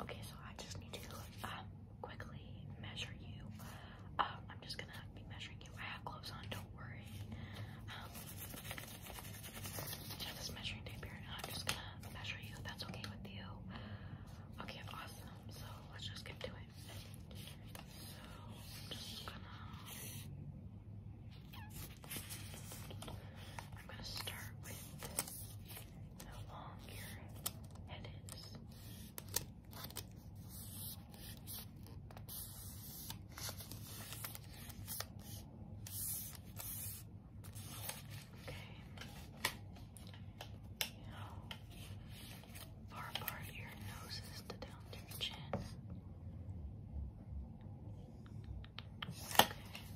Okay, so I just need to um, quickly measure you. Um, I'm just gonna be measuring you. I have gloves on, don't worry. Um, I this measuring tape here, I'm just gonna measure you. that's okay with you. Okay, awesome. So let's just get to it. So I'm just gonna. I'm gonna start with how long your head is. Okay. How far apart your nose to down to your chin. Okay.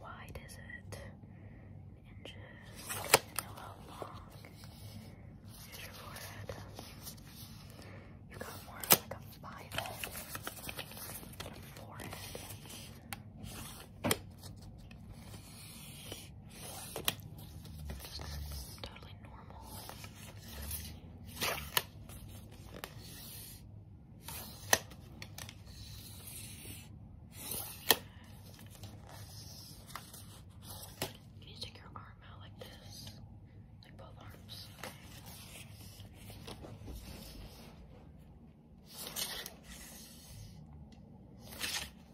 Wide is it? How long is your forehead? You've got more like a forehead. Totally normal. Can you take your arm out like this? Like both arms.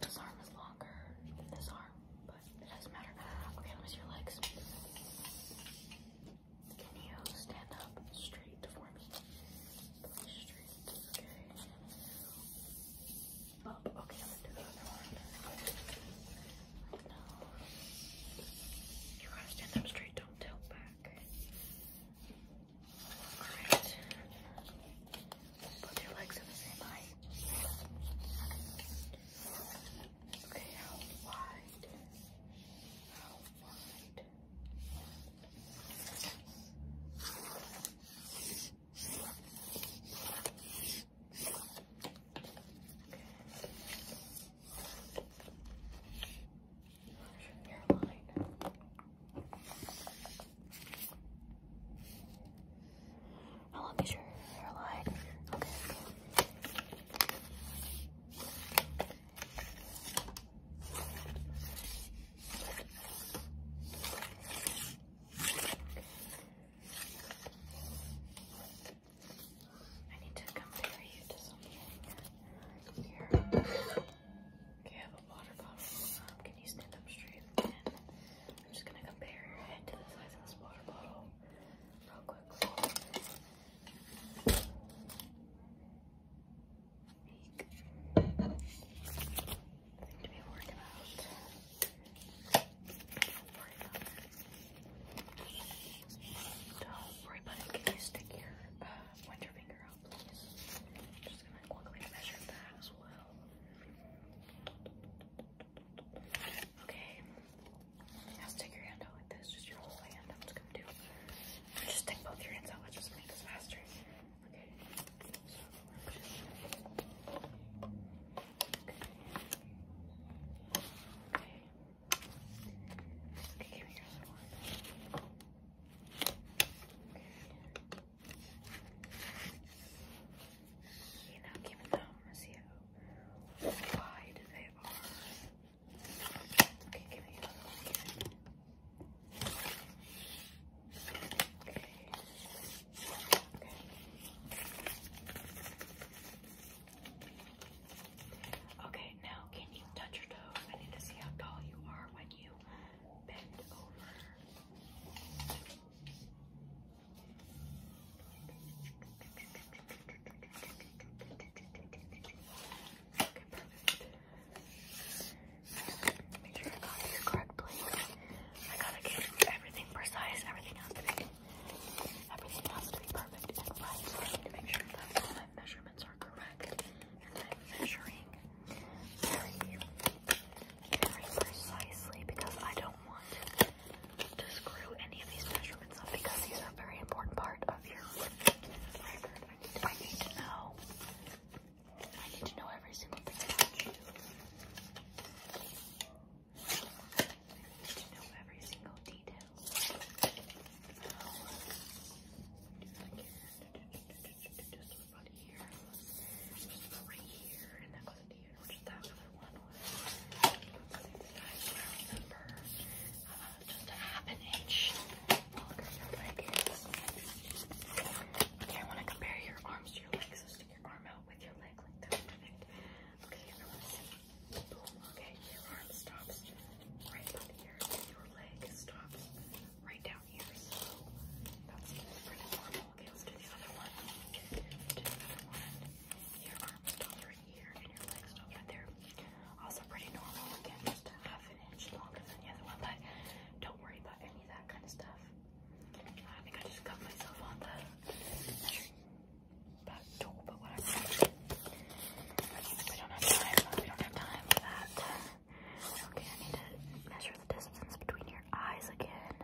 This arm is longer than this arm, but it doesn't matter. Okay, let me your legs. Can you stand up straight for me? Okay. Okay, You gotta stand up straight, don't tilt back. Alright. Put your legs in the same height. Okay, how wide? How wide? How long is your hairline? Okay. okay. I need to compare you to something here. Okay, have a water bottle. Um, can you stand up straight? again? I'm just gonna compare your head to the size of this water bottle real quickly big Can you stick your uh, winter finger out, please? I'm just gonna quickly measure that as well. Okay. Now stick your hand out like this, just your whole hand. I'm just stick both your hands out, let's just make this faster. Okay. So we're just okay. Okay. Okay, give me your other one. Okay. You know, keep it down. I see how wide they are. Okay, give me another one. Give me. Okay. Okay. Okay, now can you touch your toes? I need to see how tall you are when you bend over. Make sure I got you to everything precise. Everything has to be, everything has to be perfect I need to make sure that all my measurements are correct. And I'm measuring very, very precisely because I don't want to screw any of these measurements up because these are a very important part of your record. I need to know. I need to know every single thing about you. I need to know every single detail. Just about here, just about right here, and that goes to here, which is that other one was. I remember. Uh, just a half an inch Okay, I want to compare your arms to your legs. So stick your arm out with your leg like that. Okay, your arm stops right about here. your leg stops right down here. So that's pretty normal. Okay, let's do the other one. the other one. Your arm stops right here and your leg stops right there. Also pretty normal. Again, just to have don't worry about any of that kind of stuff. I think I just cut myself on the measuring but tool, but whatever. We don't have time. We don't have time for that. Okay, I need to measure the distance between your eyes again.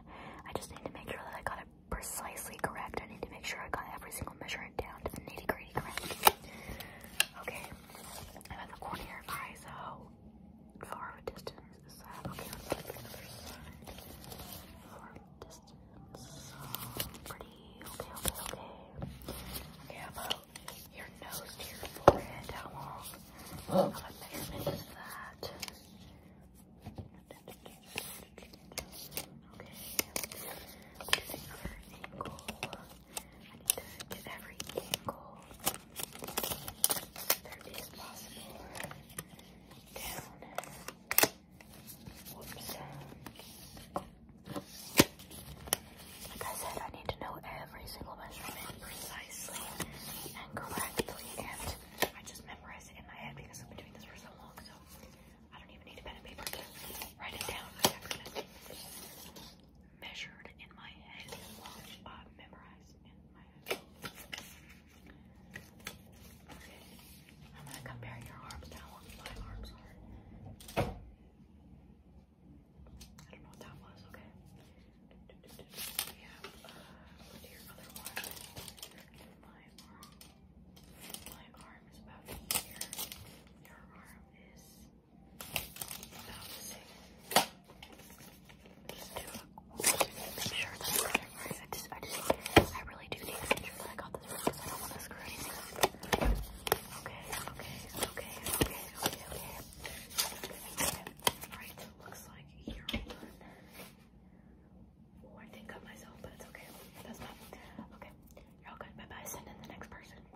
I just need to make sure that I got it precisely correct. I need to make sure I got every single measurement down to the nitty gritty correct. Okay, i the corner of oh, a distance is Far distance. Oh, Okay, okay, okay. Okay, about your nose to your forehead? How long? How measurement is that? Okay, let I need to get every angle there is possible down. Like I said, I need to know every single measurement precisely and correctly, and I just memorize it in my head because I've been doing this for so long, so I don't even need a pen and paper to write it down measured in my head, uh, memorized in my head. I'm gonna compare your arms now what my arms are. I don't know what that was, okay? We have your other one. My arm is about here. Your arm is now, just do it. Make sure to make sure that I got this right Okay, okay, okay, okay, okay, okay. Alright, looks like here, hold on. I did cut myself, but it's okay. That's fine. Okay, you're all good. Bye-bye. Send in the next person.